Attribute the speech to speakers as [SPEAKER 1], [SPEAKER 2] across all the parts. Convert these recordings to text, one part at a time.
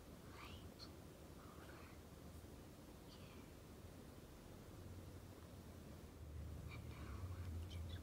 [SPEAKER 1] right over here. And now I'm just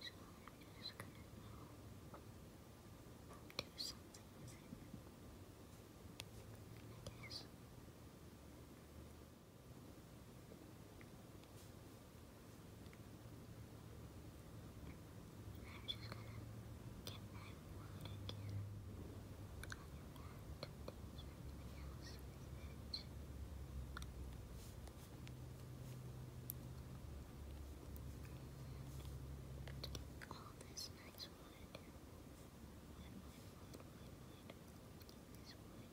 [SPEAKER 1] So I'm just gonna do something with I am just gonna get my wood again. I want to do something else all this nice wood. Wood, wood, wood, wood, wood. This wood.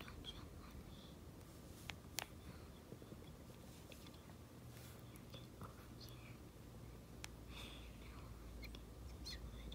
[SPEAKER 1] don't jump on me. Now get over here. Now let's get this wood.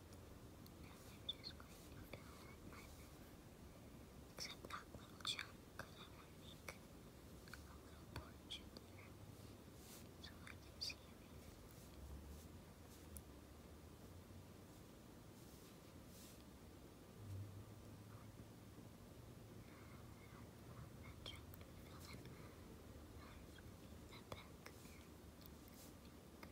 [SPEAKER 1] I'm just going to download my Except that little chunk, I want to make a little porch so I can see everything. That chunk to fill in. I'm to leave that back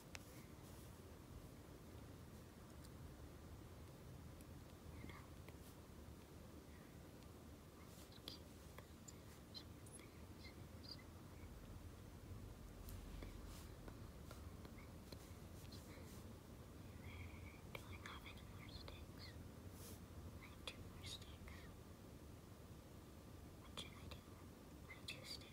[SPEAKER 1] I have two more sticks. What should I do? I two sticks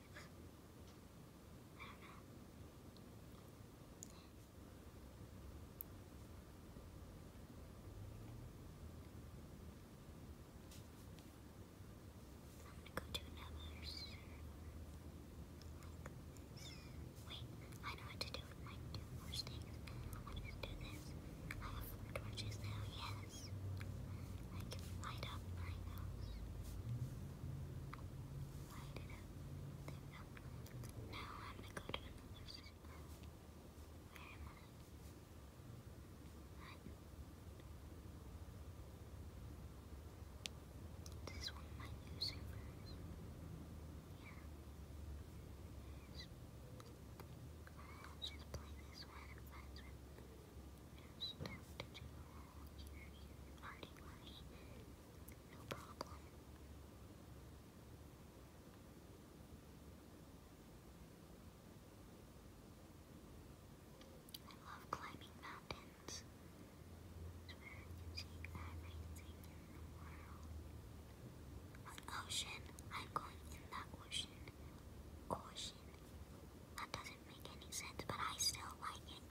[SPEAKER 1] go to another server like Wait, I know what to do with my two more sticks. I'll just do this. I have four torches now, yes. I can light up my house. Now I'm gonna go to another circle. Where am This one of my new Yeah. I'll just play this one and find just I love climbing mountains. It's where you can see everything in the world. An ocean. I'm going in that ocean. Ocean. That doesn't make any sense, but I still like it.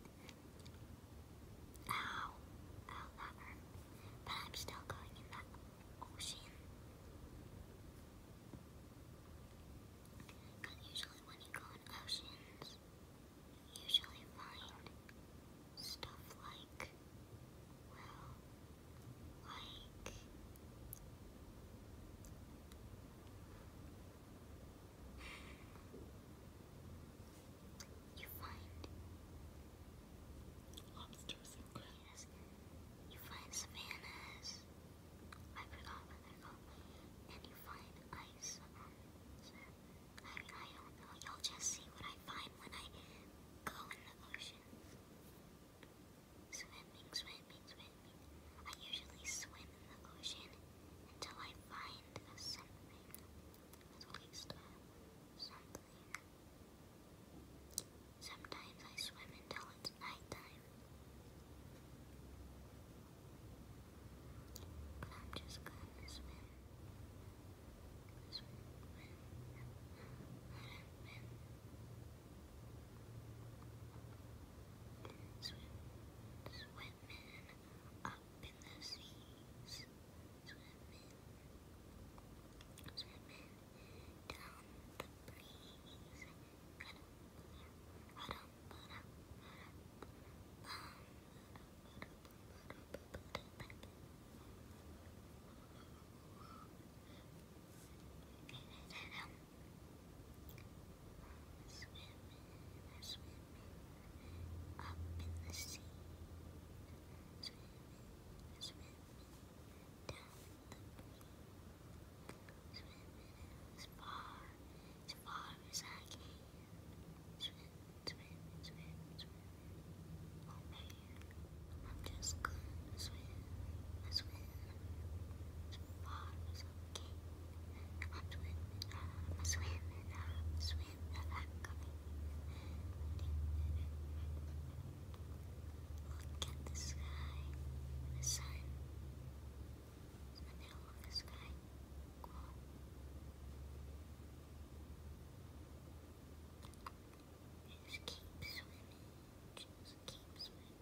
[SPEAKER 1] Ow, I'll love her, but I'm still going in that ocean. usually when you go in oceans, you usually find stuff like, well, like, you find lobsters and crabs. You find savannas. I forgot what they're called. And you find ice. I don't know. You'll just see what I find when I go in the ocean. Swimming, swimming, swimming. I usually swim in the ocean until I find a something. At least uh, something. Sometimes I swim until it's nighttime. But I'm just gonna swim. Swim. Swim. Swim. Swimming up in the seas. Swimming, swimming down the breeze swimming, they're swimming up in the sea, swimming, swimming down the pool, swimming as far, as far as I can, swim, swim, swim, swim, oh man, I'm just gonna swim, swim, as far as I can. I'm swimming, I'm swimming, I'm swimming, I'm coming. Look at the sky, the sun. It's the middle of the sky. Just keep swimming, just keep swimming.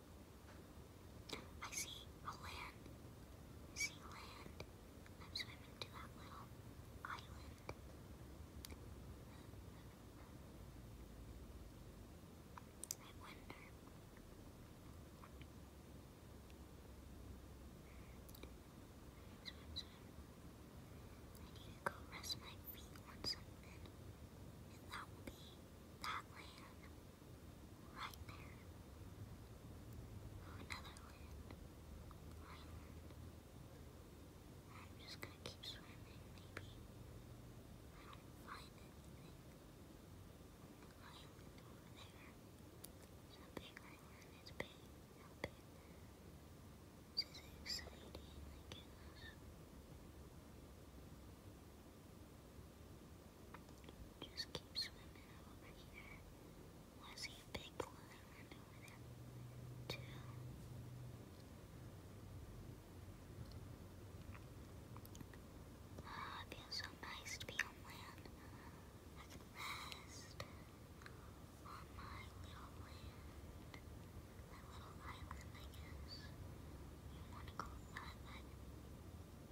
[SPEAKER 1] I see a land. I see land. I'm swimming to that little island. I wonder. I need to go rest my feet on something, and that will be that land right there. Another land. I'm just gonna keep swimming, maybe. I don't find anything. over there. It's a big island. It's big. How exciting, just keep swimming over here. I see a big balloon over there, too. Ah, it feels so nice to be on land. I can rest on my little land. My little island, I guess. You want to go island?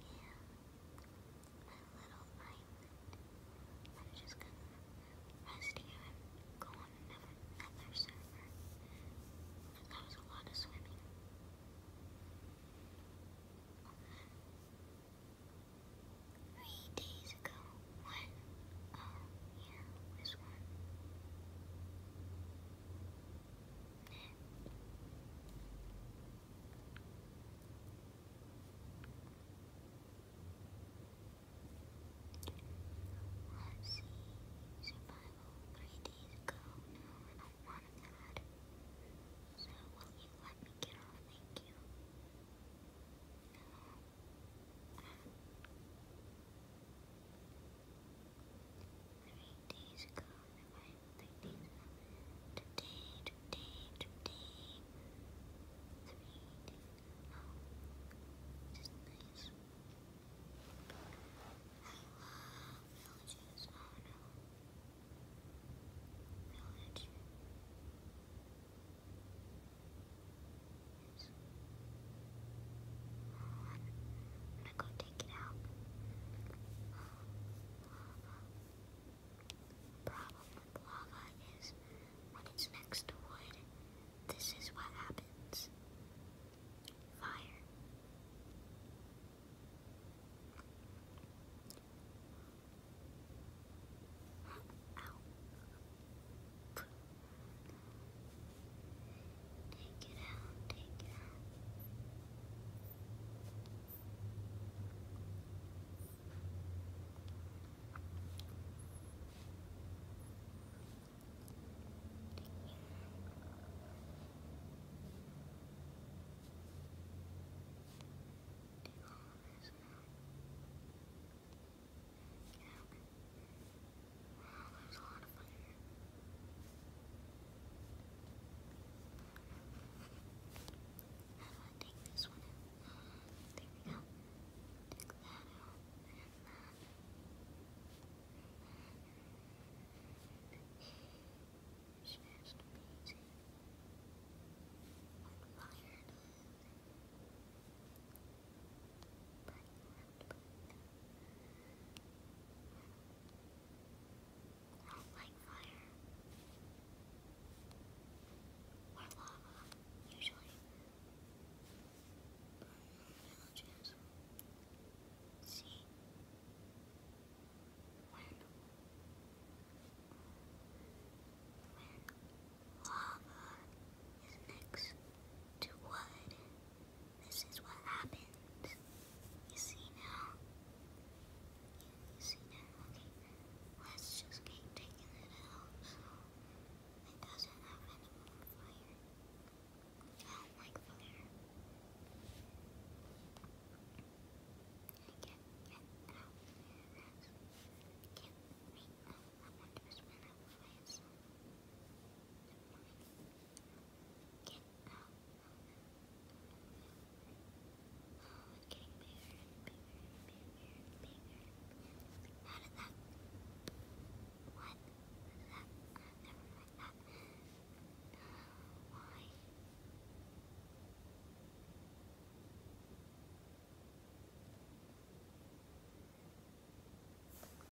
[SPEAKER 1] Yeah. My little island. I'm just gonna rest here and go on another server. That was a lot of swimming. Three days ago. What? Oh, yeah, this one. Let's see. Survival three days ago. No, I don't want that. So will you let me get off? Thank you. No three days ago, arrived three days ago, today, today, today, three days ago, which is I love villages, oh no, village. Yes. I'm gonna go take it out. Problem with lava is when it's next to wood, this is what happens. Fire. Take it out, take it out. Take all this out. Wow, there's a lot of fun. How do I this one out? There we go. Take that out. And that. I don't like fire. Or lava, usually. Villages. See? When? When lava is next to wood. This is what happened. You see now? you see now? Okay. Let's just keep taking it out so it doesn't have any more fire. I don't like fire. I can't can't wait. No, I want to spin up fire. Get out. Oh, it's getting bigger and bigger and bigger and bigger. How did that? What? Did that? Uh, never mind that. Uh, why?